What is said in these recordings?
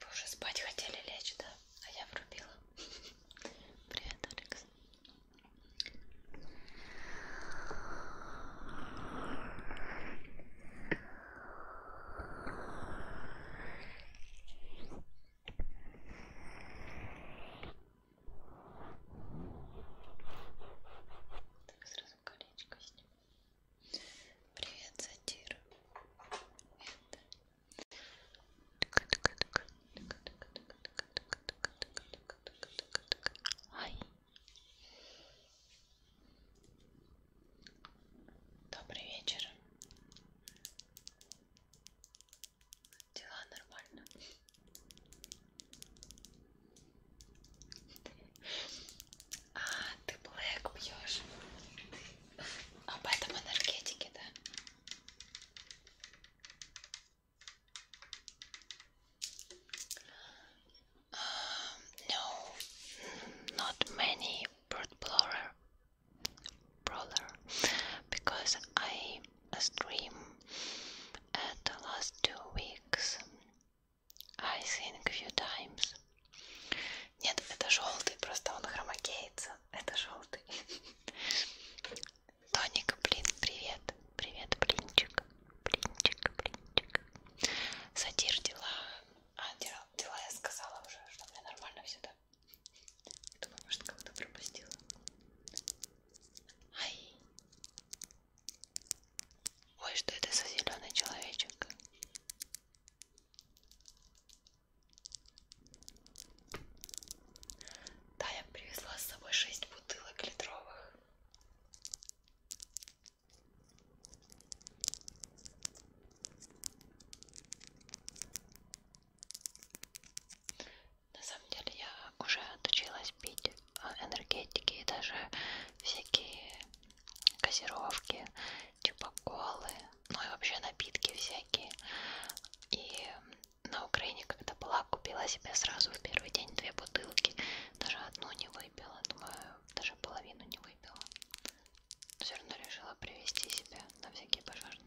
Вы уже спать хотели лечь, да? А я врубила. Привет, Алекс. Так, сразу колечко сниму. Привет, Сатир. Ай. Добрый вечер. Дела нормально. А, ты блэк пьешь. Об этом энергетике, да? no, not many bird blower, brawler, because I stream at the last two weeks I think few times. Нет, это желтый, просто он хромакеется. Это желтый. Тоник, блин, привет. Привет, блинчик. Блинчик, блинчик. Сатир дела. А, дела, дела я сказала уже, что мне нормально все, да? Думаю, может, кого-то пропустила. Ай. Ой, что это за зеленый человечек? Да, я привезла с собой 6 бутылок литровых. На самом деле я уже отучилась пить энергетики и даже всякие газировки, типа колы, ну и вообще напитки всякие. И на Украине, когда была, купила себе сразу в первый день две бутылки. Даже одну не выпила, думаю, даже половину не выпила. Но все равно решила привезти себе на всякие пожарные.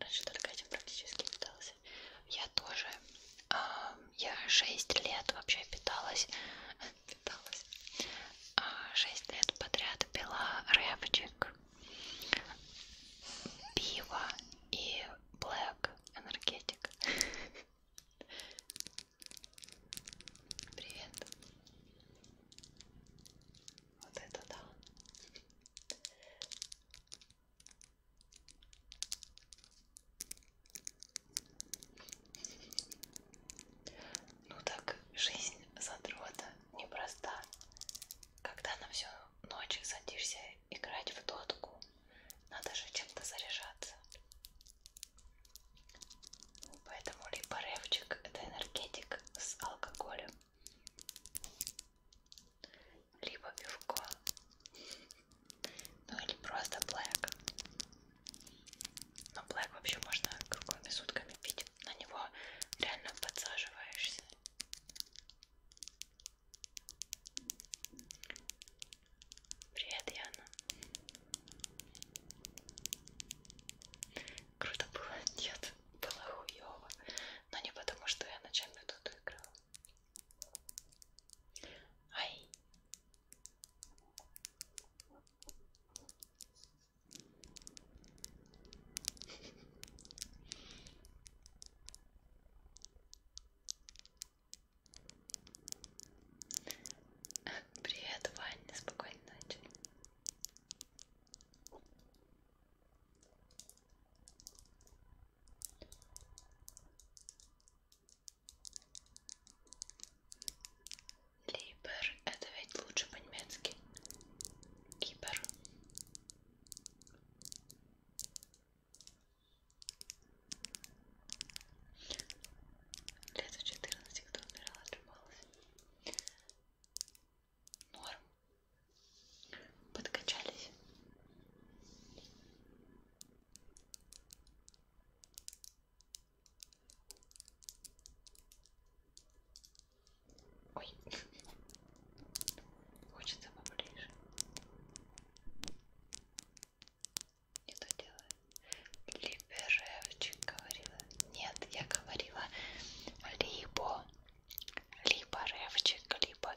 Раньше только этим практически питалась. Я тоже. Э, я 6 лет вообще питалась. питалась. Э, а, 6 лет подряд пила рэпчик, пиво и блэк энергетик. Привет. Вот это да. Ну так жизнь задрота непроста. Когда на всю ночь садишься играть в дотку, надо же чем-то заряжаться. Поэтому либо ревчик это энергетик с алкоголем, либо пивко, ну или просто блэк. Но блэк вообще можно круглыми сутками пить, на него реально подсаживаешься. Привет, Яна. Круто было, нет нет, было хуёво, но не потому, что я ночами тут играла. Ай! Привет, Ваня, спокойной ночи. Либер, это ведь лучше по-немецки. Кипер. Лет в 14 кто умирал, отжималась. Норм. Подкачались. Ой. Хочется поближе. Не то делаю. Либеревчик говорила. Нет, я говорила либо либо ревчик, либо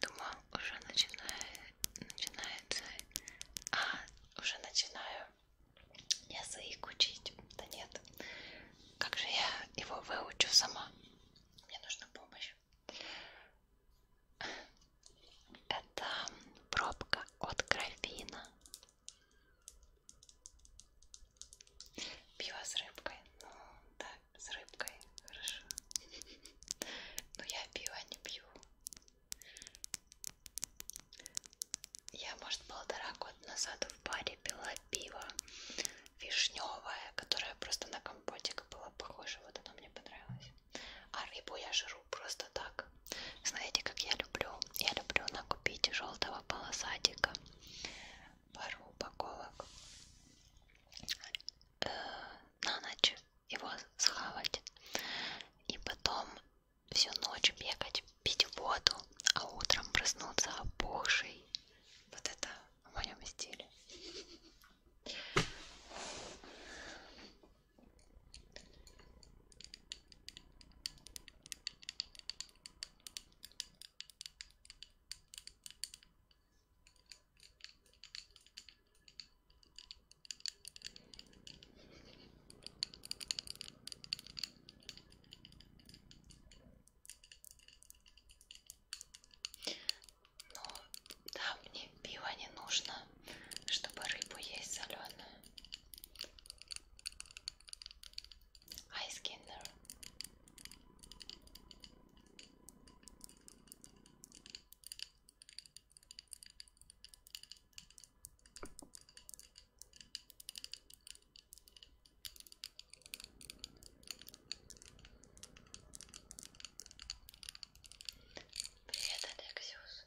Думаю, уже начинаю, начинается, а, уже начинаю язык учить. Да нет, как же я его выучу сама? Мне нужна помощь. Это пробка от графина. Пиво с рыбкой. Ну, да, с рыбкой, хорошо. Но я пиво а не пью. Я, может, полтора года назад в баре пила пиво вишневое, которое просто на компотик было похоже. Вот оно мне понравилось. А рыбу я жру просто так. Знаете, как я люблю? Я люблю накупить желтого полосатика пару упаковок э, на ночь его схавать и потом всю ночь бегать, пить воду, а утром проснуться опухший. Вот это в моем стиле. Ну, да, мне пиво не нужно, чтобы рыбу есть соленую. Ice Kinder. Привет, Алексиус.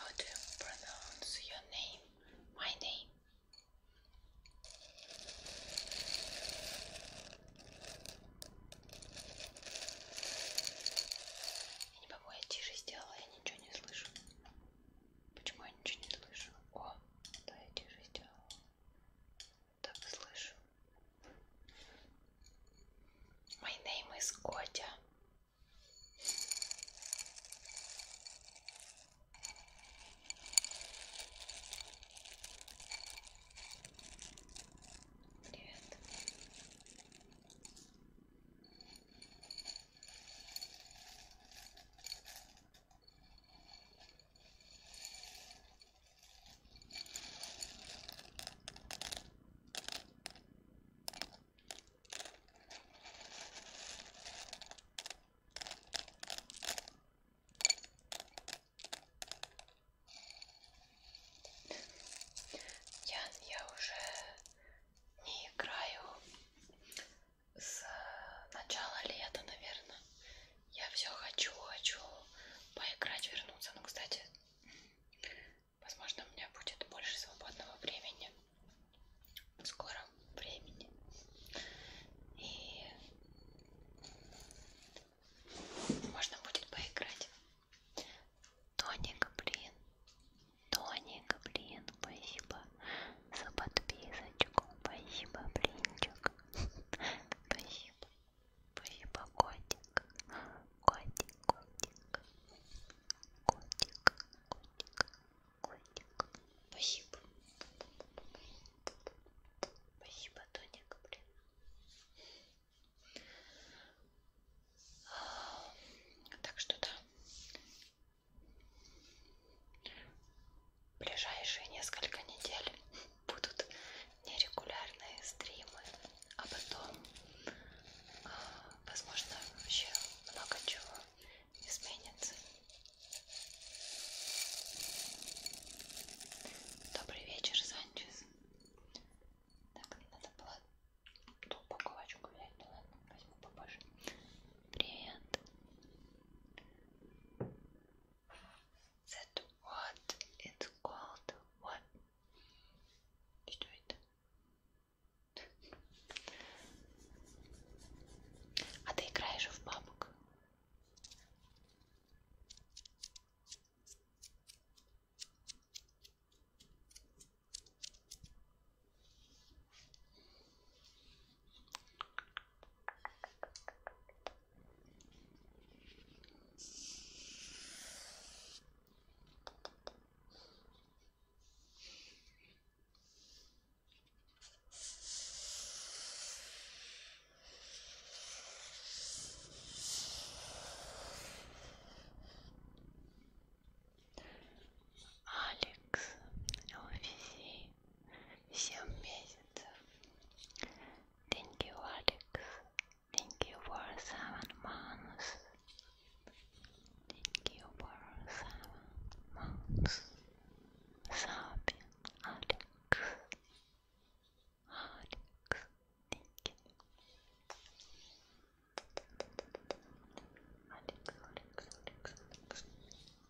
How do you pronounce your name? My name? Я не могу, я тише сделала, я ничего не слышу. Почему я ничего не слышу? О, да, я тише сделала так слышу. My name is Котя. Привет. Я, я уже не играю с э, начала лета, наверное. Я все хочу, хочу поиграть, вернуться. Ну, кстати, возможно, у меня будет больше свободного времени. В скором времени. И можно будет поиграть. Тоника, блин. Тоника, блин. Спасибо за подписочку. Спасибо, блинчик. Спасибо. Филиппа котик, котик, котик, котик, котик, котик. Спасибо. Спасибо, Тоник, блин. Так что да. Ближайшие несколько недель будут нерегулярные стримы, а потом, а, возможно, вообще много чего изменится. Добрый вечер, Санчес. Так, надо было ту упаковочку взять, ну ладно, возьму попозже. Привет. that what it's called what you do it а ты играешь в бабок Алекс, Офиси, 7 месяцев. Thank you, Алекс. Thank you for seven months. Thank you for seven months. Sabi, Alex, Alex, thank you. Alex, Alex, Alex,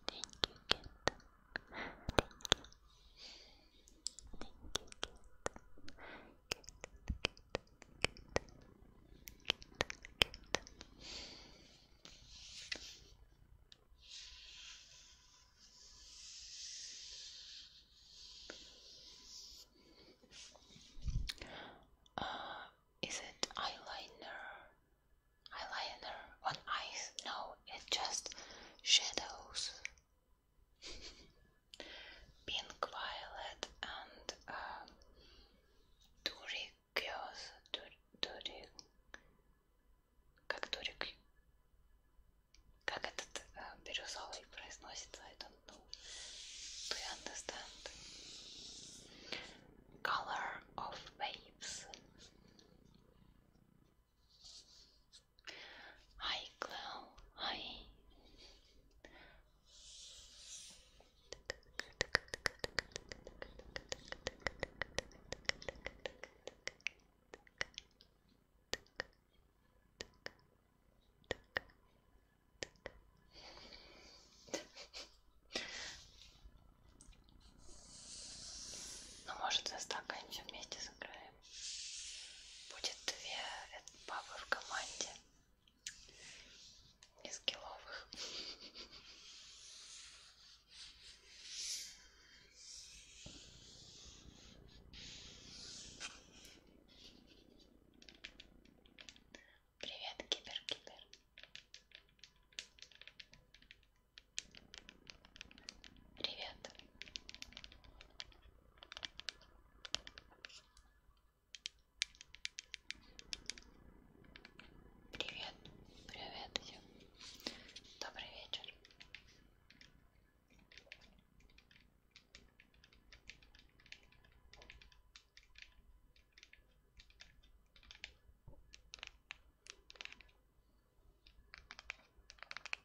Thank you. Uh, is it eyeliner? Eyeliner on eyes? No, it's just shadows pink violet and uh, um, turicose, tur turi, как турик, как этот uh, бирюзовый произносится, I don't know, do you understand? Color of waves. Ай, Клау, ай. Ну, может, за стаканчик вместе сыграем. Будет две бабы в команде из гиловых. Привет, кибер-кибер. Привет. Привет, привет всем. Добрый вечер.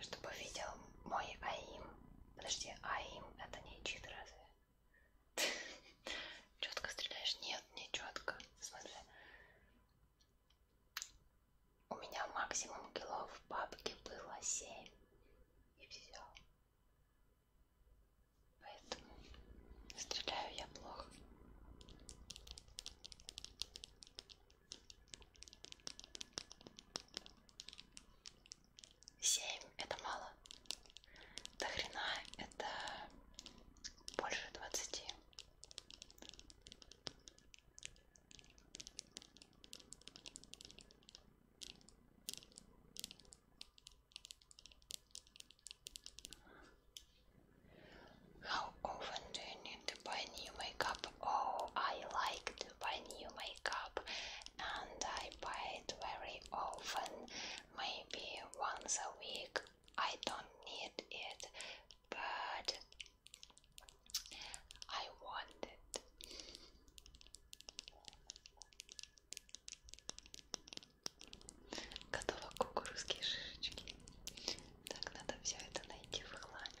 Чтобы видел мой АИМ. Подожди, АИМ это не чит разве? Четко стреляешь? Нет, не четко. В смысле? У меня максимум кило в папке было 7. И все. Поэтому стреляю я плохо. Семь это мало. До хрена это больше двадцати. How often do you need to buy new makeup? Oh, I like to buy new makeup and I buy it very often, maybe once a week. I don't need it, but I want it. Готовы кукурузские шишечки. Так, надо все это найти в хламе.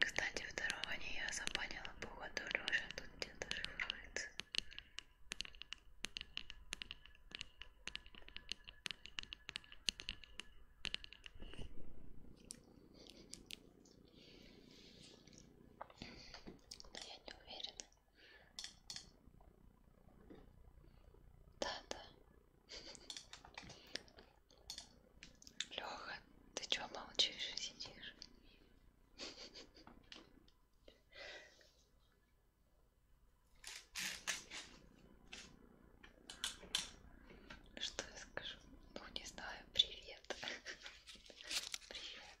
Кстати, второго не я запанила, походу Лёша тут где-то шифруется но я не уверена. Да, да. Леха, ты чего молчишь и сидишь? Что я скажу? Ну, не знаю. Привет. Привет.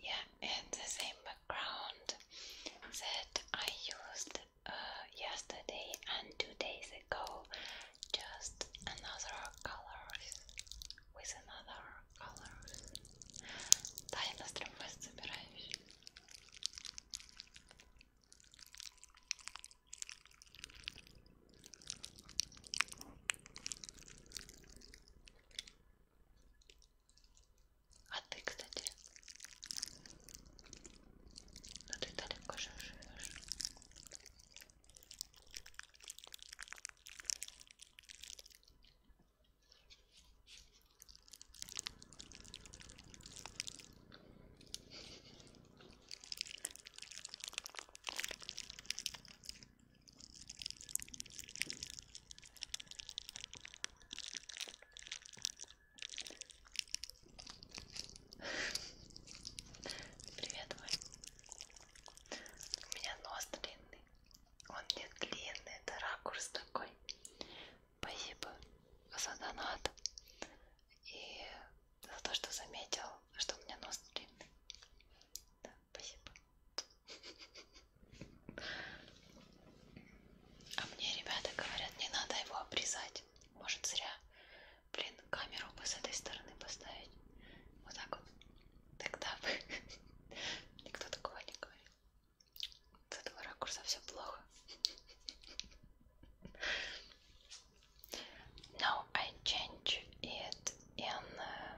Yeah, it's the same background that I used uh, yesterday and two days ago. Just another colors with another colors. Да, я на стримфест собираюсь. А ты, кстати, ну ты далеко же живешь. Привет, мой. У меня нос длинный. Он не длинный, это ракурс такой. Спасибо за донат и за то, что заметил, что у меня нос длинный. Да спасибо. А мне ребята говорят, не надо его обрезать. Может зря. Блин, камеру бы с этой стороны поставить. Вот так вот. Тогда бы никто такого не говорит. С этого ракурса все плохо. Now I change it in э,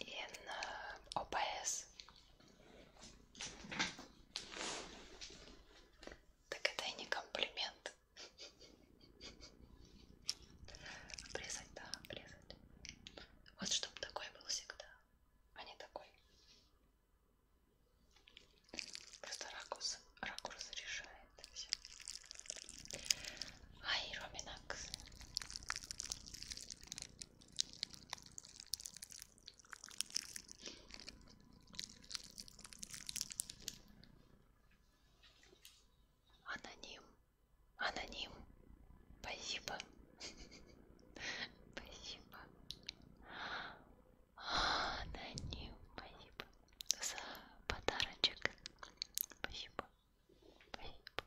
in uh, э, OBS. Так это и не комплимент. Обрезать, да, обрезать. Вот чтобы такой был всегда, а не такой. Просто ракурс, ракурс решает все. Ай, Ромина, так. Аноним. Аноним. Спасибо. Спасибо. Аноним. Спасибо. За подарочек. Спасибо. Спасибо, котик.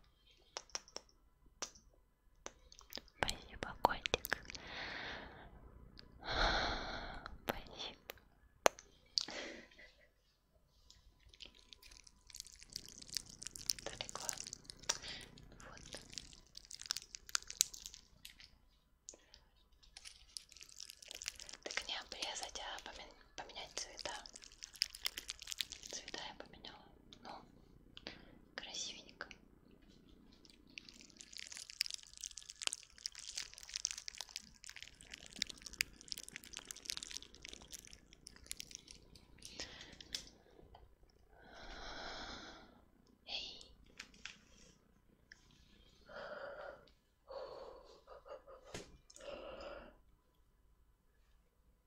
Спасибо. Далеко. Вот. Так не обрезать, а поменять цвета. Цвета я поменяла но красивенько. Эй.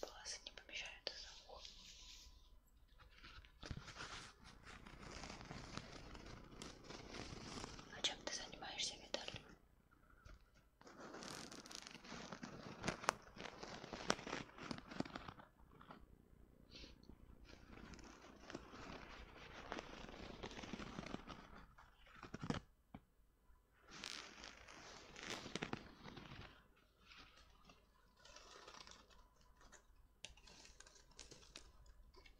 Волосы не помещаются за ухо. А чем ты занимаешься, Виталий?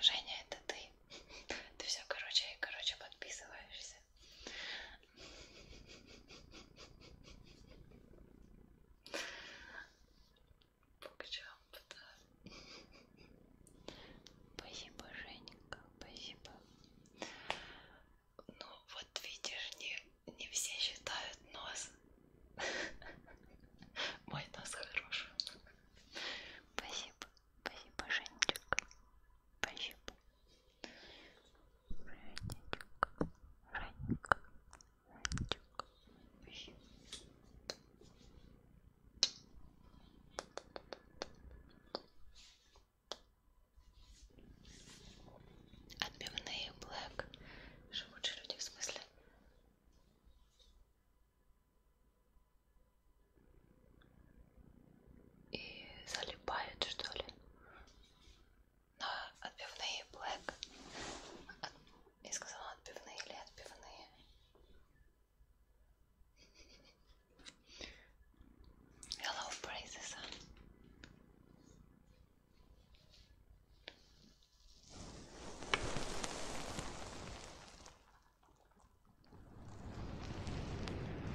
Женя, это ты. Ты все, короче, короче, подписываешься. Букчамп, да. Спасибо, Жененька, спасибо. Ну вот видишь, не, не все считают нос. Мой нос хороший. Спасибо, спасибо, Женечка. Спасибо. Женечка, Женечка, Отбивные Блэк. Живучие люди в смысле. И залипают, что ли? на отбивные black. От... Я сказала отбивные или отбивные. Hello, praises.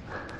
А.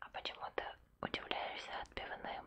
А почему ты удивляешься отбивным?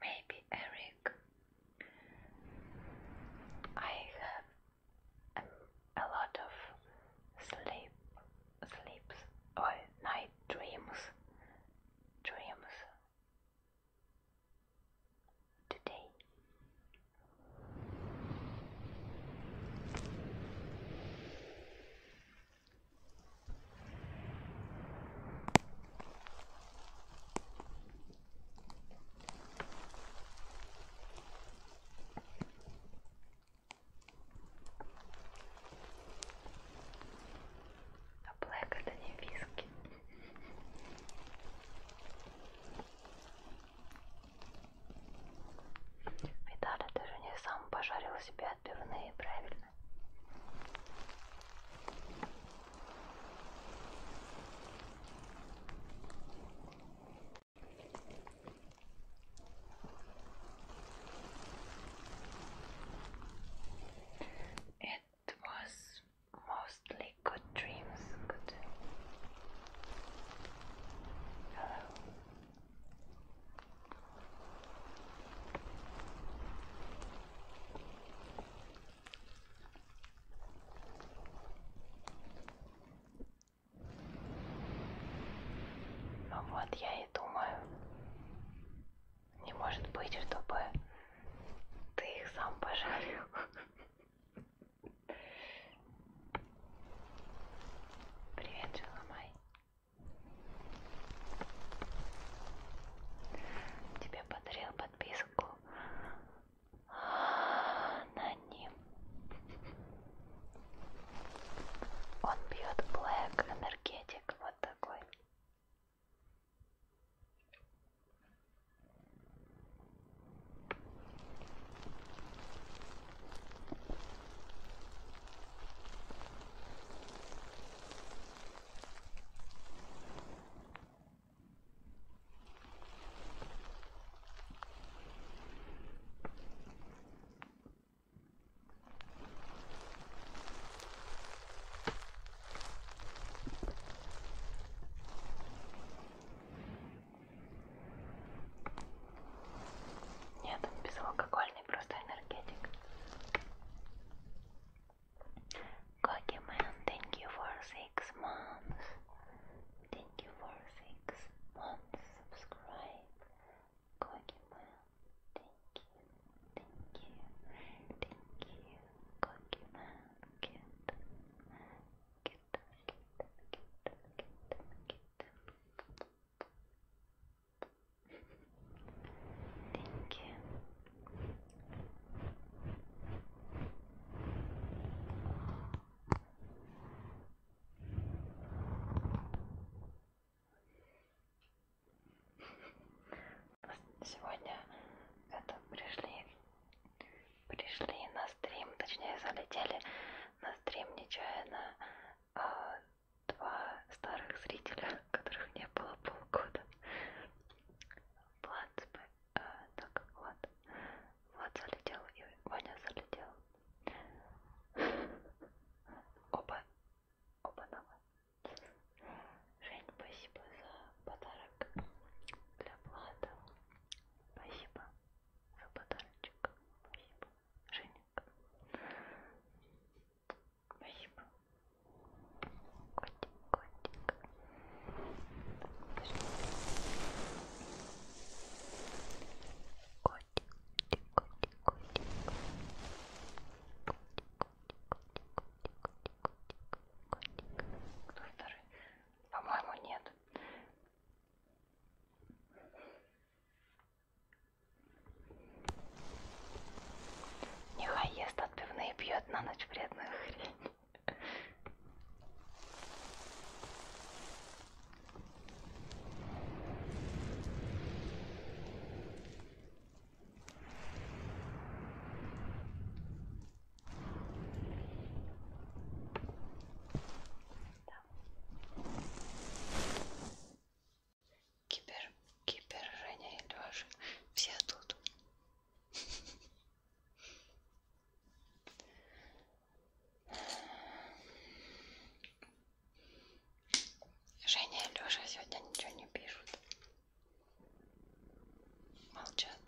maybe Eric. I have a, lot of sleep, sleeps or night dreams, dreams today. А блэк это не виски. Виталий, ты же не сам пожарил себе отбивные, правильно? It was mostly good dreams. Good. Ну вот я и думаю, не может быть, чтобы ты их сам пожарил. Привет, Джеламай. Тебе подарил подписку на ним. Он пьет Black Energetic, вот такой. Нет, он безалкогольный, просто энергетик. Cookieman, thank you for six months. Thank you for six months. Subscribe. Cookieman, thank you, thank you, thank you. Cookieman, get, get, get, get, get, get. Thank you. Сегодня это пришли, пришли на стрим, точнее залетели на стрим нечаянно а, два старых зрителя, которых не было полгода. Плацбы э, так, вот. Влад залетел и Ваня залетел. Оба, оба новые. Жень, спасибо за подарок для Влада. Спасибо за подарочек. Спасибо, Женек. Спасибо. Котик котик. Котик, котик, котик, котик, котик, По-моему, нет. Нехай ест отбивные пьет на ночь вредную хрень. Кипер, Кипер, Женя и Леша. Все тут. Женя и Леша сегодня ничего не пишут. Молчат.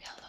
Hello.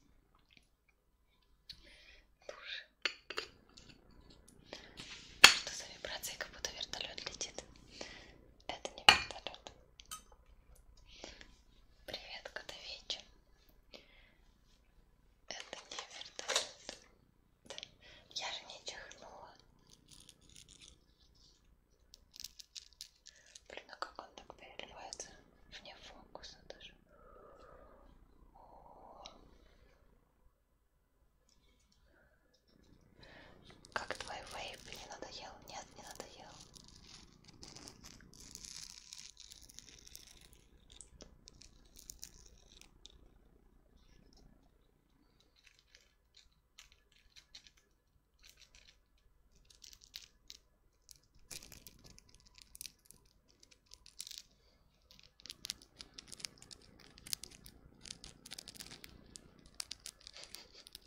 Душ. Что за вибрации, как будто вертолет летит? Это не вертолет. Привет, Котовечи. Это не вертолет. Да. Я же не чихнула. Блин, а как он так переливается? Вне фокуса даже. О. Как твой вейп? Не надоел? Нет, не надоел.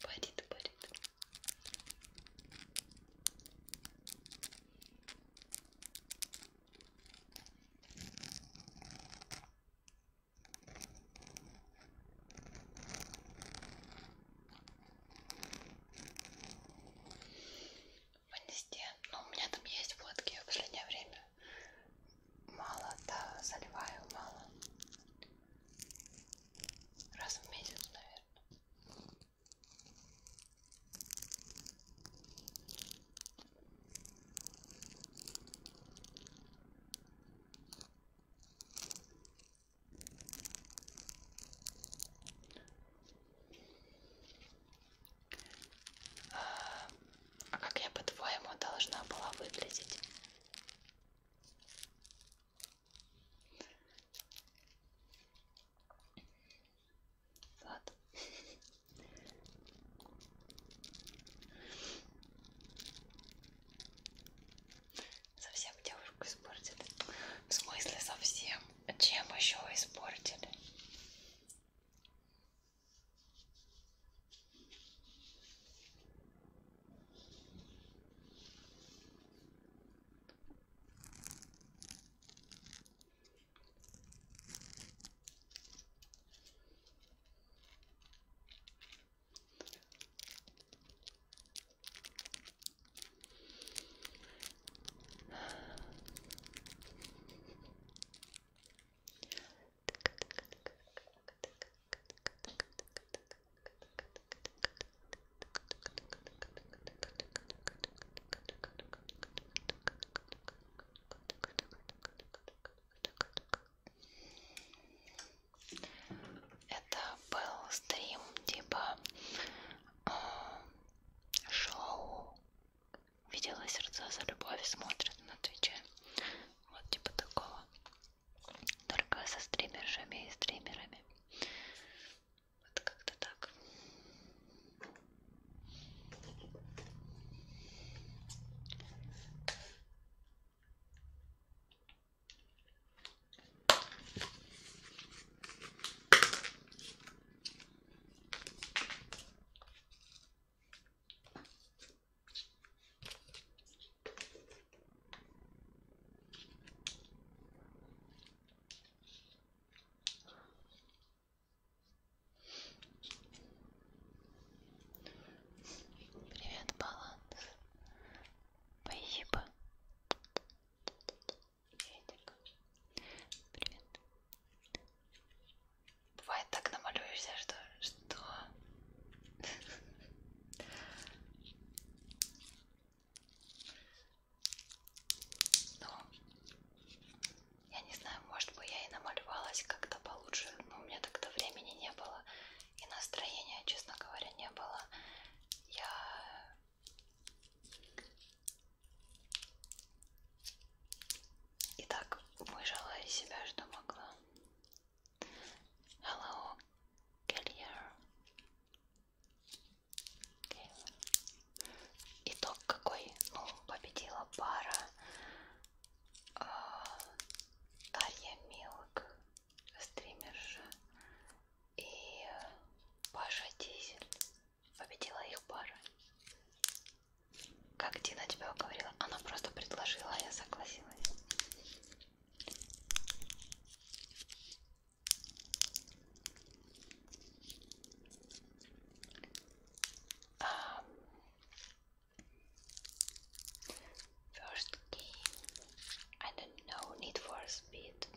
Парит, парит. Вынести. Ну, у меня там есть водки в последнее время. Мало, да, заливаю мало. Раз в месяц, наверное. А как я, по-твоему, должна была выглядеть? Ладно. Совсем девушку испортит. В смысле совсем? А чем еще испортили? Это был стрим типа шоу «Видела сердца за любовь» смотрят на Твиче. Вот типа такого. Только со стримершами и стримерами. Вот как-то так. Привет, баланс. Спасибо. Привет. Бывает так намалюешься, что... Что? Ну, я не знаю, может бы я и намалевалась как-то получше, но у меня тогда времени не было и настроения, честно говоря, не было. Я и так выжила из себя, что могла. Hello, Келлер. Итог какой? Ну, победила пара э, Дарья Милк, стримерша, и Паша Дизель победила их пара. Как Дина тебя уговорила? Она просто предложила, а я согласилась. Um, first game, I don't know, Need for Speed.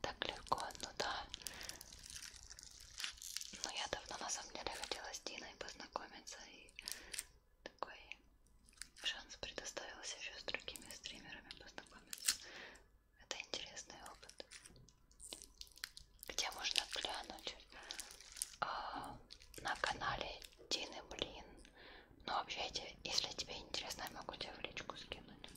Так легко, ну да. Но ну, я давно на самом деле хотела с Диной познакомиться и такой шанс предоставился еще с другими стримерами познакомиться. Это интересный опыт. Где можно глянуть? А, на канале Дины Блин. Ну вообще, если тебе интересно, я могу тебе в личку скинуть.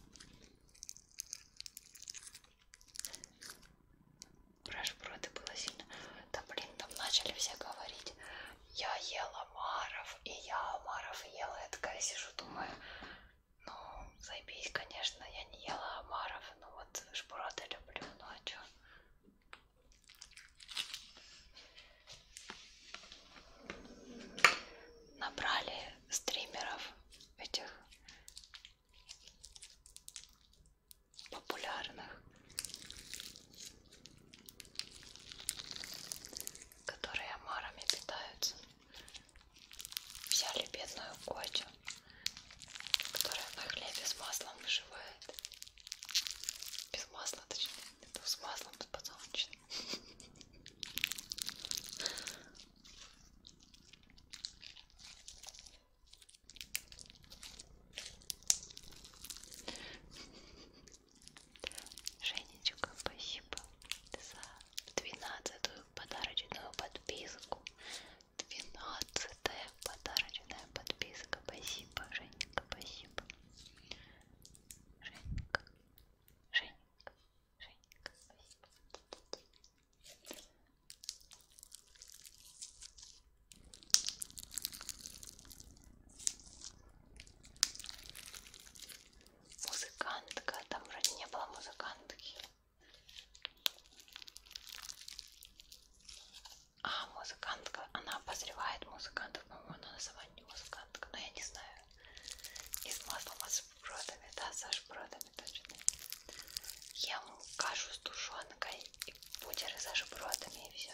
Про шпроты было сильно. Да блин, там начали все говорить. Я ела Маров, и я Маров ела. Я такая сижу, думаю, ну, заебись, конечно, я не ела Амаров, но ну вот шпроты люблю, ну а чё? набрали стримеров этих популярных, которые омарами питаются. Взяли бедную котю, которая на хлебе с маслом выживает. Без масла, точнее, с маслом, с подсолнечным. Женечка, спасибо за двенадцатую подарочную подписку. Двенадцатая подарочная подписка. Спасибо, Женечка, спасибо. Женька, Женька, Женька, спасибо. Музыкантка, там вроде не было музыкантки. А, музыкантка, она обозревает музыкантов, по-моему, она сама не музыкантка, но я не знаю из маслом, а с шпротами, да, со шпротами точно. Ем кашу с тушенкой и бутеры со шпротами и все.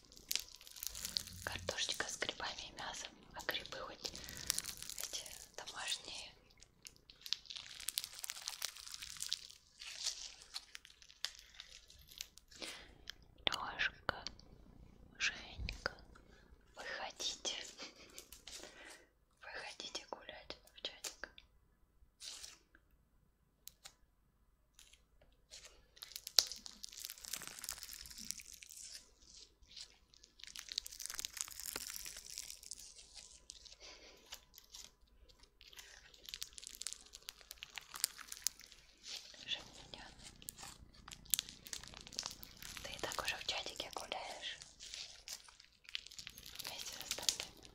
Картошечка с грибами и мясом, а грибы хоть эти домашние. Лешка, Женька, выходите. Выходите гулять в чатик. Ты и так уже в чатике гуляешь вместе с остальными.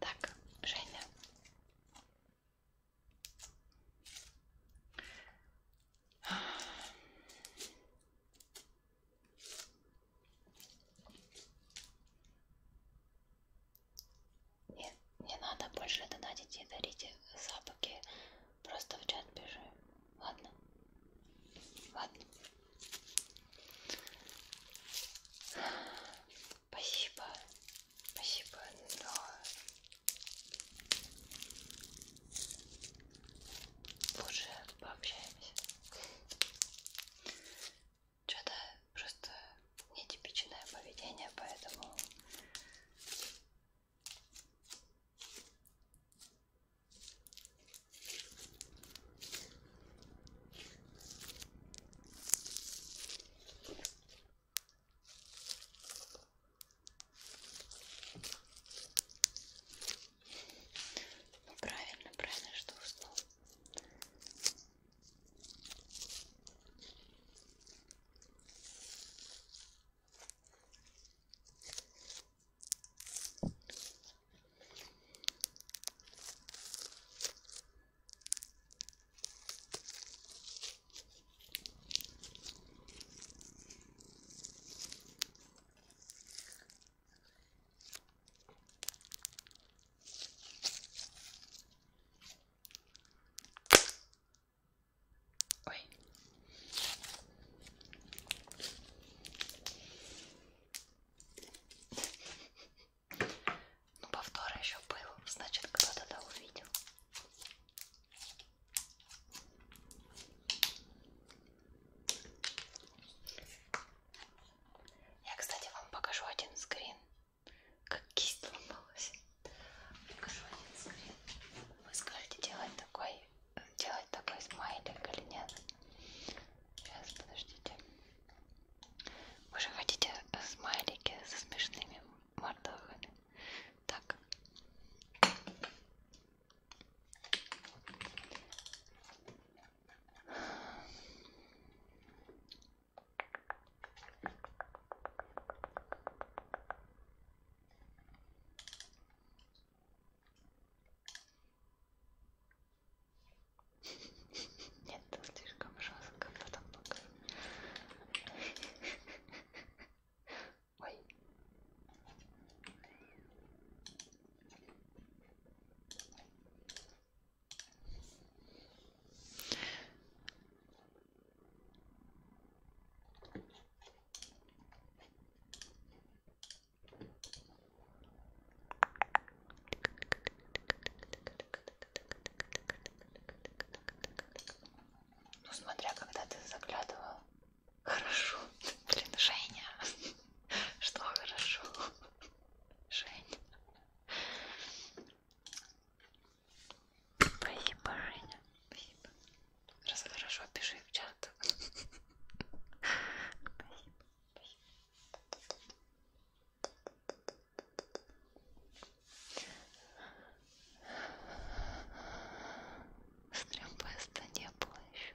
Так, Женя, не, не надо больше донатить и дарить запахи. Просто в чат пиши. Ладно. Ладно. Спасибо. Спасибо, но Лучше пообщаемся. Что-то просто нетипичное поведение, поэтому ну, правильно, правильно, что уснул. Ой. Ну, повтор еще был, значит, кто-то да увидел. Я, кстати, вам покажу один скрин, как кисть ломалась. Покажу один скрин. Вы скажете делать такой, делать такой смайлик или нет? Сейчас, подождите. Вы же хотите смайлики со смешными мордахами? Так. Нет, слишком жестко, потом покажу. Ой. Ну, смотря когда ты заглядывал Хорошо. Блин, Женя. Что хорошо? Женя. Спасибо, Женя. Спасибо. Раз хорошо, пиши в чат. Спасибо. Спасибо. Стрембеста не было еще.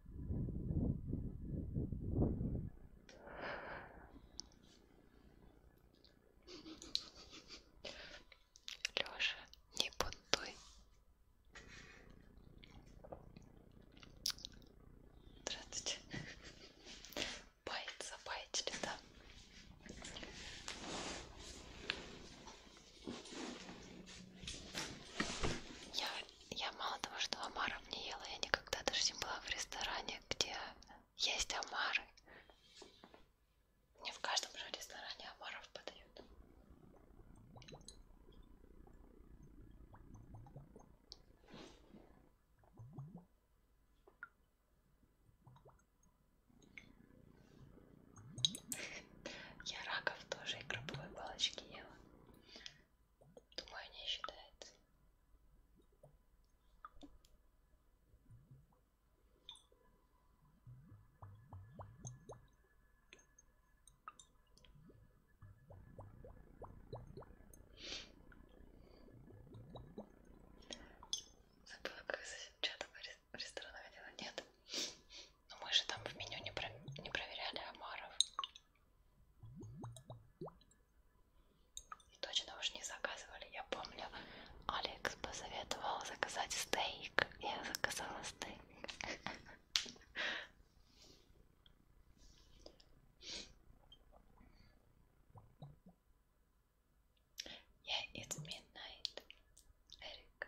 Лёша, не бунтуй. Здравствуйте. Баит, забайтили, да? Я я мало того, что омаров не ела, я никогда даже не была в ресторане, где есть омары. Не в каждом же ресторане омаров подают. Я раков тоже и крабовые палочки ела. Думаю, не считается. Забыла, как что-то ресторанного дела нет. Но мы же там в меню не, про... не проверяли омаров. Точно уж не заказывали. Я помню, Алекс посоветовал заказать стейк. Я заказала стейк. Yeah, it's midnight, Эрик.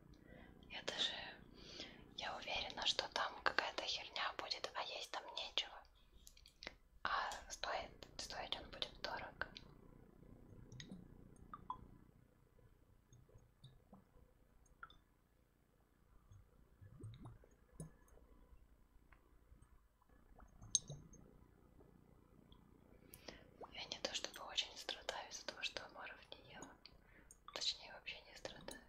Я даже... Я уверена, что там какая-то херня будет, а есть там нечего. А стоит, стоить он будет дорого. Я не то чтобы очень страдаю из-за того, что амаров не ела. Точнее, вообще не страдаю.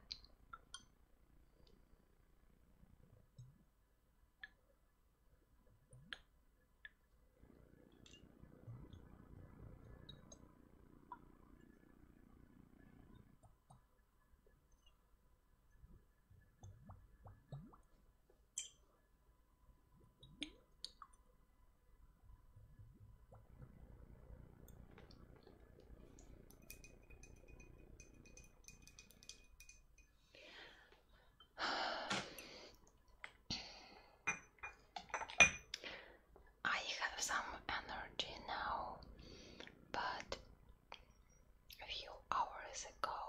I have some energy now, but a few hours ago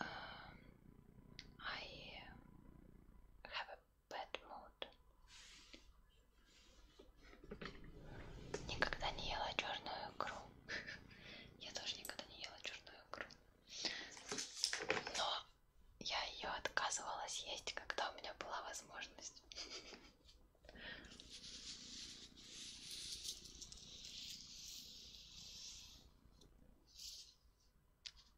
um, I have Bad Mood. Никогда не ела черную икру. Я тоже никогда не ела черную икру. Но я ее отказывалась есть, когда у меня была возможность.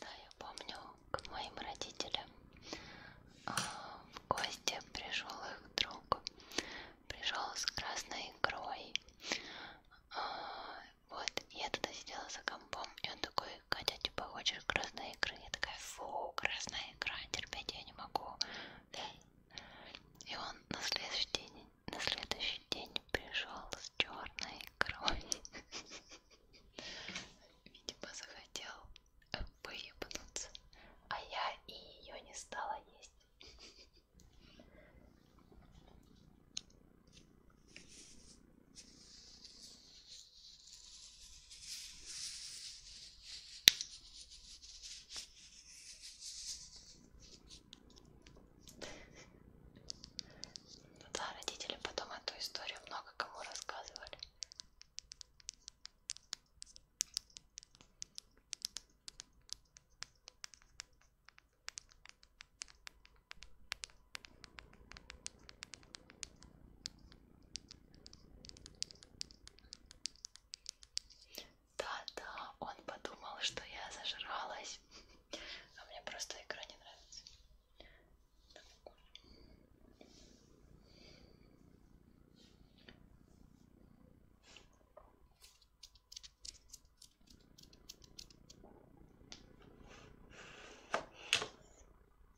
Да, я помню, к моим родителям а, в гости пришел их друг, пришел с красной икрой. А, вот, я тогда сидела за компом, и он такой такой, Катя, типа, хочешь красной икры? Я такая, фу, красная икра, терпеть я не могу. И он на следующий день, на следующий день пришел с черной икрой. Видимо, захотел выебнуться, а я и ее не стала есть. Ну да, родители потом эту историю много кому рассказывали. Да-да, он подумал, что я зажралась. А мне просто игра не нравится.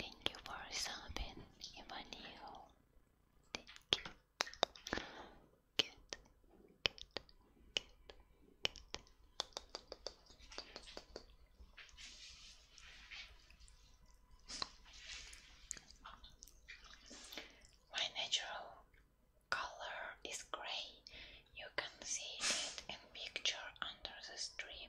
Thank you for subbing, Emmanuel. you. My natural color is gray. You can see it in picture under the stream.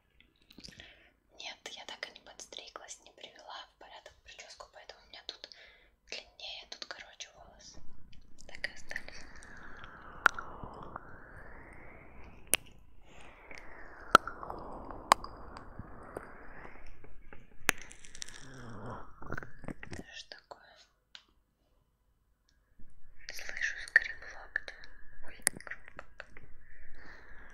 Нет, я так и не подстриглась, не привела в порядок прическу, поэтому у меня тут длиннее, тут короче волосы. Так и остались. Это же такое. Слышу скрип локтя. Ой, громко.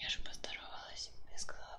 Я же поздоровалась и сказала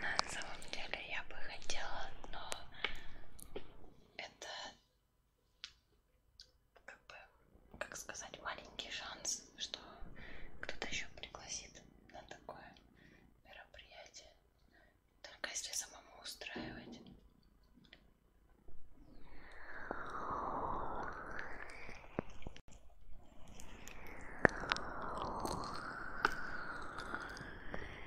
На самом деле я бы хотела, но это как бы, как сказать, маленький шанс, что кто-то еще пригласит на такое мероприятие. Только если самому устраивать.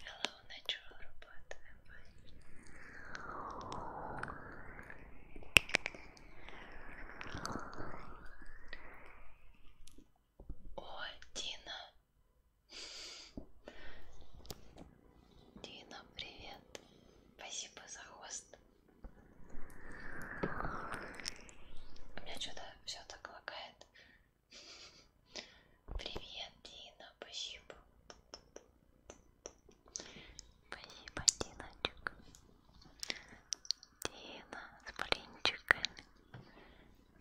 Головне чого роботи не бачиш? О, Дина! Дина, привет! Спасибо за хост. У меня что-то все так лагает. Привет, Дина, спасибо. Спасибо, Диночек. Дина с блинчиками.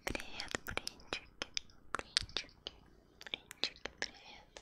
Привет, блинчики. Блинчики. Блинчики, привет.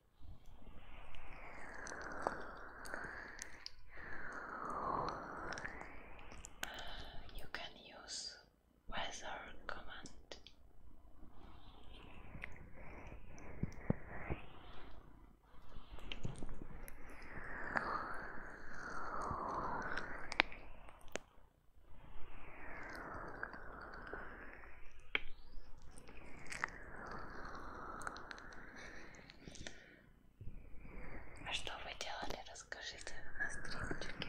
You can use weather command. А что вы делали? Расскажите на страничке.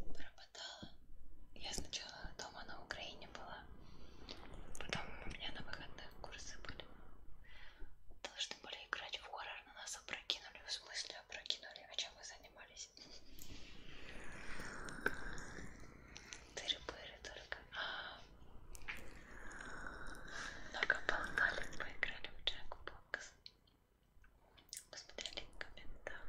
Пропадала. Я сначала дома на Украине была, потом у меня на выходных курсы были. Должны были играть в хоррор, но нас опрокинули, в смысле опрокинули, а чем мы занимались? Тыры-пыры только. А, много болтали, поиграли в Джек Бокс. Посмотрели комментарии.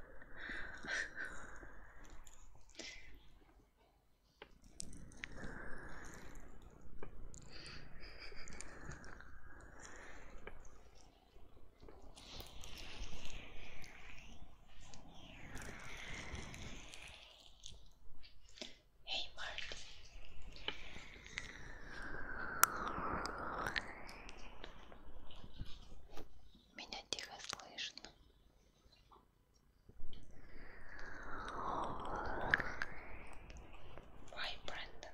Hey, Marty. Меня тихо слышно. Бай, Брэндон.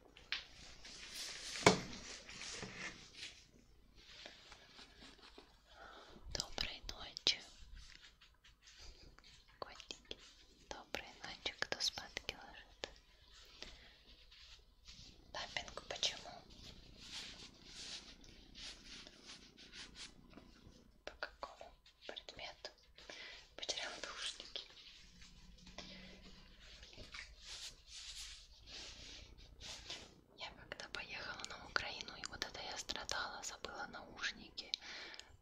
Доброй ночи, котики. Доброй ночи, кто спадки ложит. Тапинг почему? По какому предмету? Потерял наушники. Я когда поехала на Украину, и вот это я страдала, забыла наушники,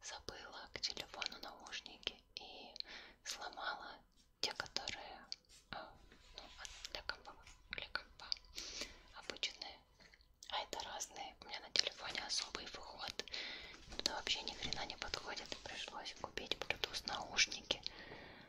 забыла к телефону наушники и сломала те, которые а, ну, для, компа, для компа обычные. А это разные. У меня на телефоне особый выход. Туда вообще ни хрена не подходит. Пришлось купить Bluetooth наушники.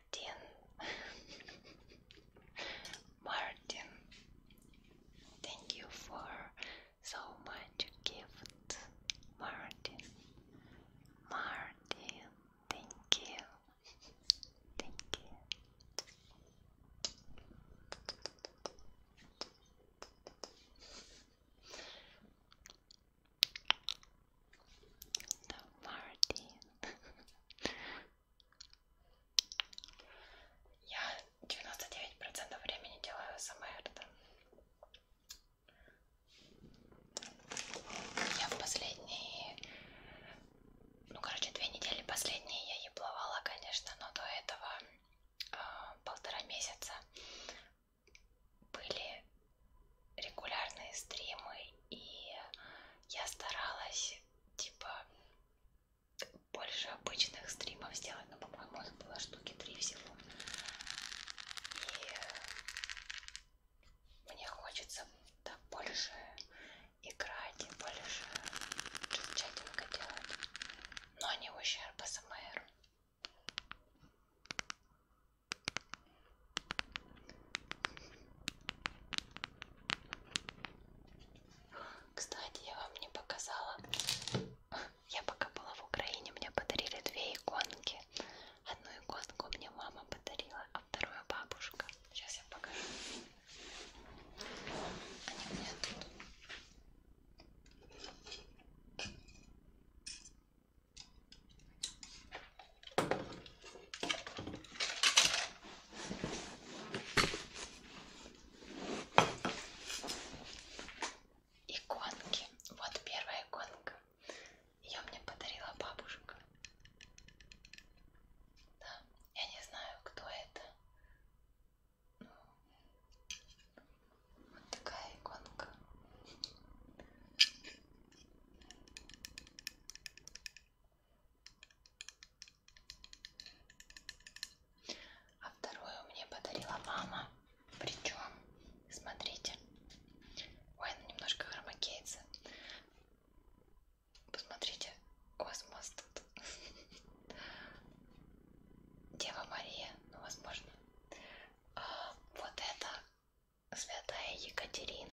Martin. Martin, thank you for so much gift. Martin, Martin, thank you. Thank you. Martin. Я 99% времени делаю СМР. Я в последние, ну короче, две недели последние я ебловала, конечно, но до этого э, полтора месяца были регулярные стримы, и я старалась типа больше обычных стримов сделать, но по-моему их было штуки три всего. И мне хочется так больше играть и больше чатинга делать, но не ущерб СМР. Кстати, я вам не показала. Я пока была в Украине, мне подарили две иконки. Одну иконку мне мама подарила, а вторую бабушка. Сейчас я покажу. Они у меня тут. Иконки. Вот первая иконка. Ее мне подарила бабушка. Да, я не знаю, кто это. Ну, вот такая иконка. А вторую мне подарила мама. Причем, смотрите. Ой, она немножко хромакеется. Посмотрите, космос тут. Дева Мария, ну, возможно. А, вот это святая Екатерина.